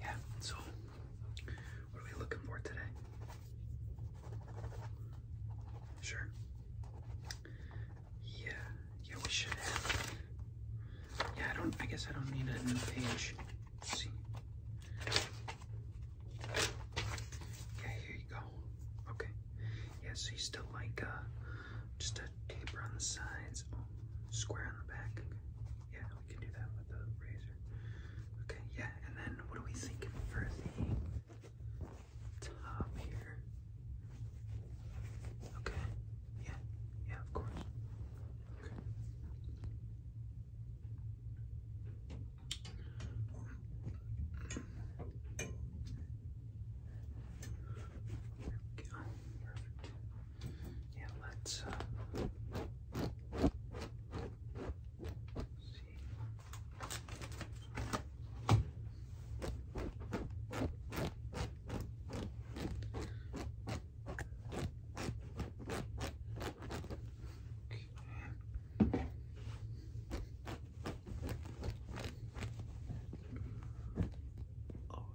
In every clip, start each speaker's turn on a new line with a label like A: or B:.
A: Yeah, so what are we looking for today? Sure. Yeah, yeah, we should have. Yeah, I don't, I guess I don't need a new page. see. Yeah, here you go. Okay. Yeah, so you still like uh, just a taper on the sides, oh, square on the back. Yeah, we can do that with a razor. Okay, yeah, and then what do we think for the top here? Okay, yeah, yeah, of course. Okay. There we go. Perfect yeah, let's uh, see. Okay. Oh.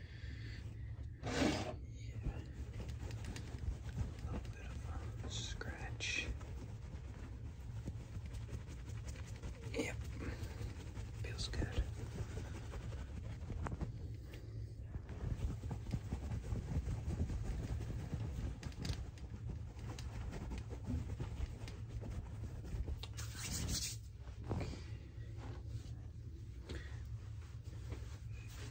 A: Yeah. A little bit of a scratch. Yep. Feels good.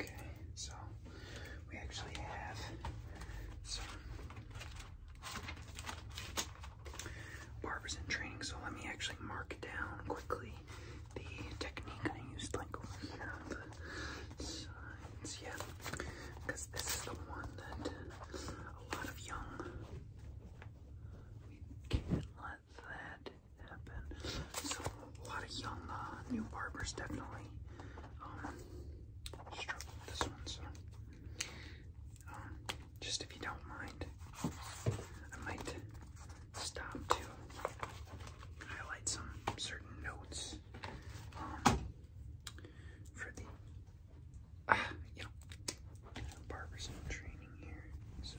A: Okay, so we actually have some Barbers in training, so let me actually mark down quickly the technique I used, like over here yeah, because this is the one that a lot of young, we can't let that happen, so a lot of young, uh, new barbers definitely, um, struggle with this one, just if you don't mind, I might stop to highlight some certain notes um, for the, ah, barbers training here. So.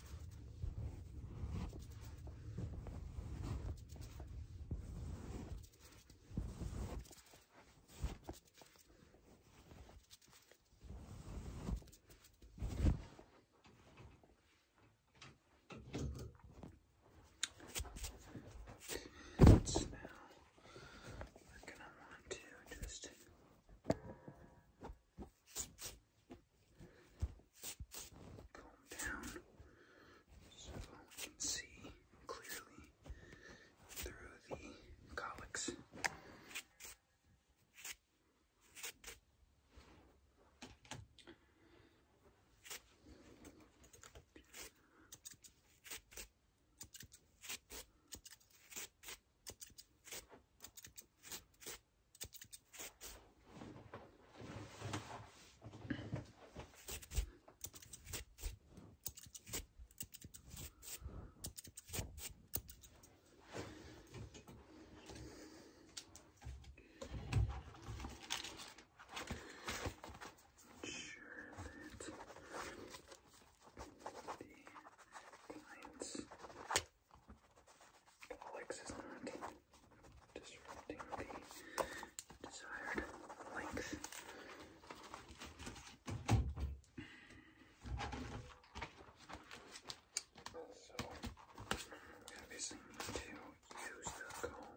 A: And so now we're going to want to just comb down so we can see clearly through the colics. Sure that the clients Alex is not disrupting the desired length. So, we obviously need to use the comb.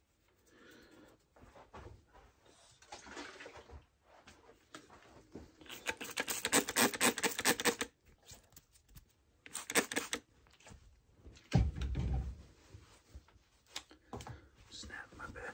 A: Snap my bed.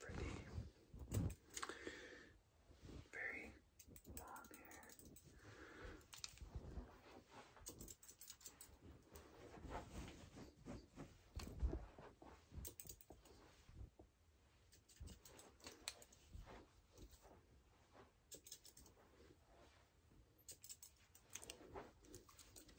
A: Pretty. Very long hair.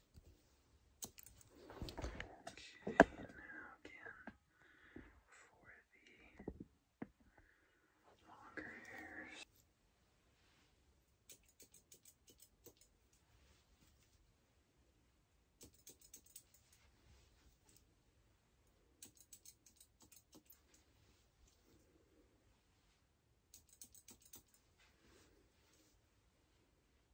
A: Okay, now again for the longer hairs.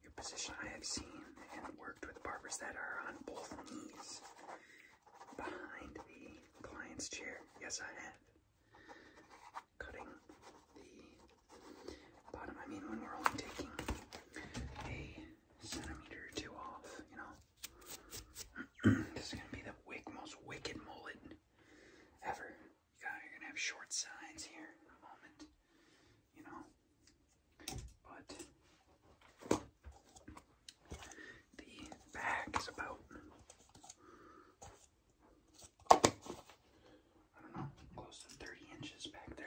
A: Your position I have seen and worked with barbers that are on both knees behind the client's chair. Yes, I have. Cutting the bottom. I mean, when we're only taking a centimeter or two off, you know, this is going to be the most wicked mullet ever. You you're going to have short sides here in a moment you know. But the bag is about, I don't know, close to 30 inches back there.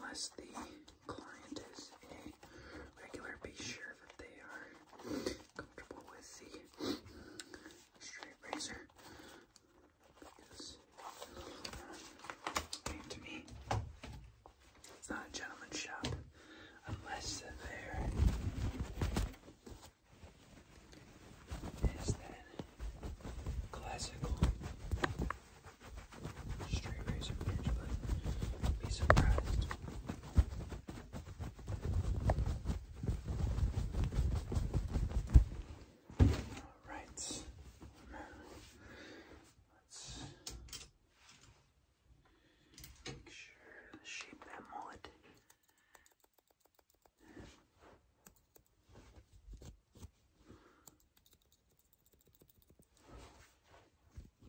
A: Unless the client is a regular, be sure that they are comfortable with the straight razor because uh, to me, it's not a gentleman's shop unless there is that classical Straight razor edge, but be surprised. Alright. Let's make sure to shape that mullet.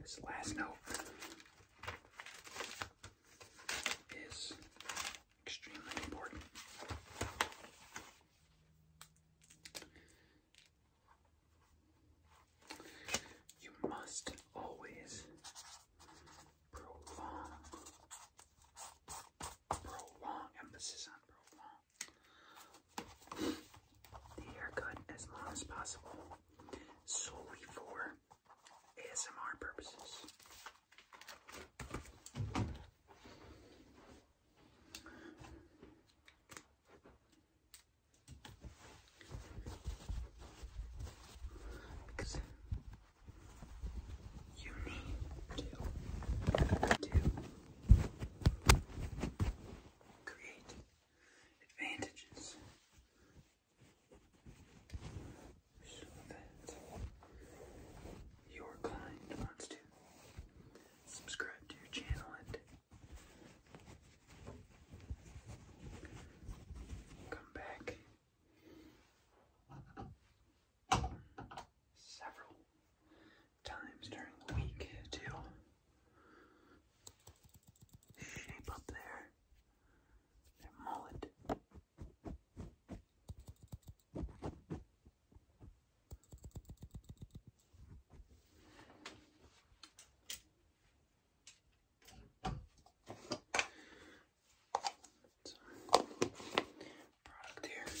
A: This last note is extremely important. You must always prolong, prolong, emphasis on prolong, the haircut as long as possible solely for ASMR purposes. Because you need to create advantages. So that your client wants to subscribe to your channel and come back several times during the week to shape up there. Their mullet. product here.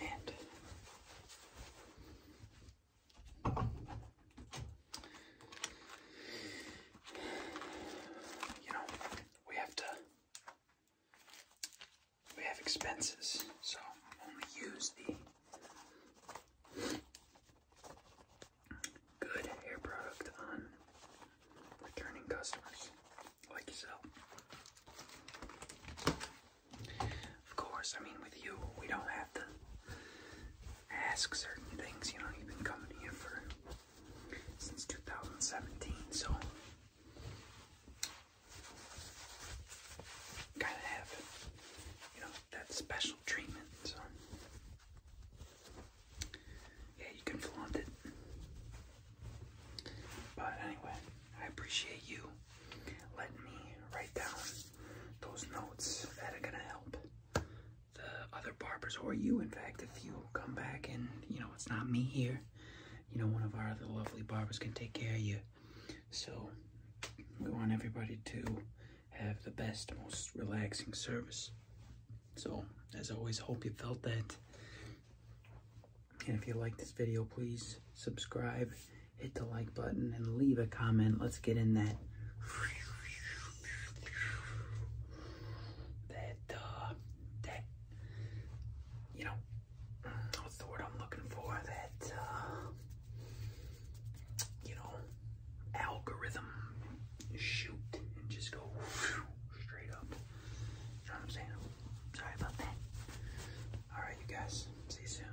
A: And you know, we have to we have expenses, so only use the good hair product on returning customers like yourself. Of course, I mean, with you, we don't have to ask certain things. You know, you've been coming here for since 2017, so kind of have, you know, that special treatment. So yeah, you can flaunt it. But anyway, I appreciate you letting me write down those notes that are gonna help the other barbers or you. In fact, if you come back and you know it's not me here, you know one of our other lovely barbers can take care of you. So we want everybody to have the best, most relaxing service. So, as always, hope you felt that. And if you like this video, please subscribe, hit the like button, and leave a comment. Let's get in that that uh that you know what's the word I'm looking for that uh, you know algorithm shoot and just go straight up I'm saying? Sorry about that. Alright, you guys. See you soon.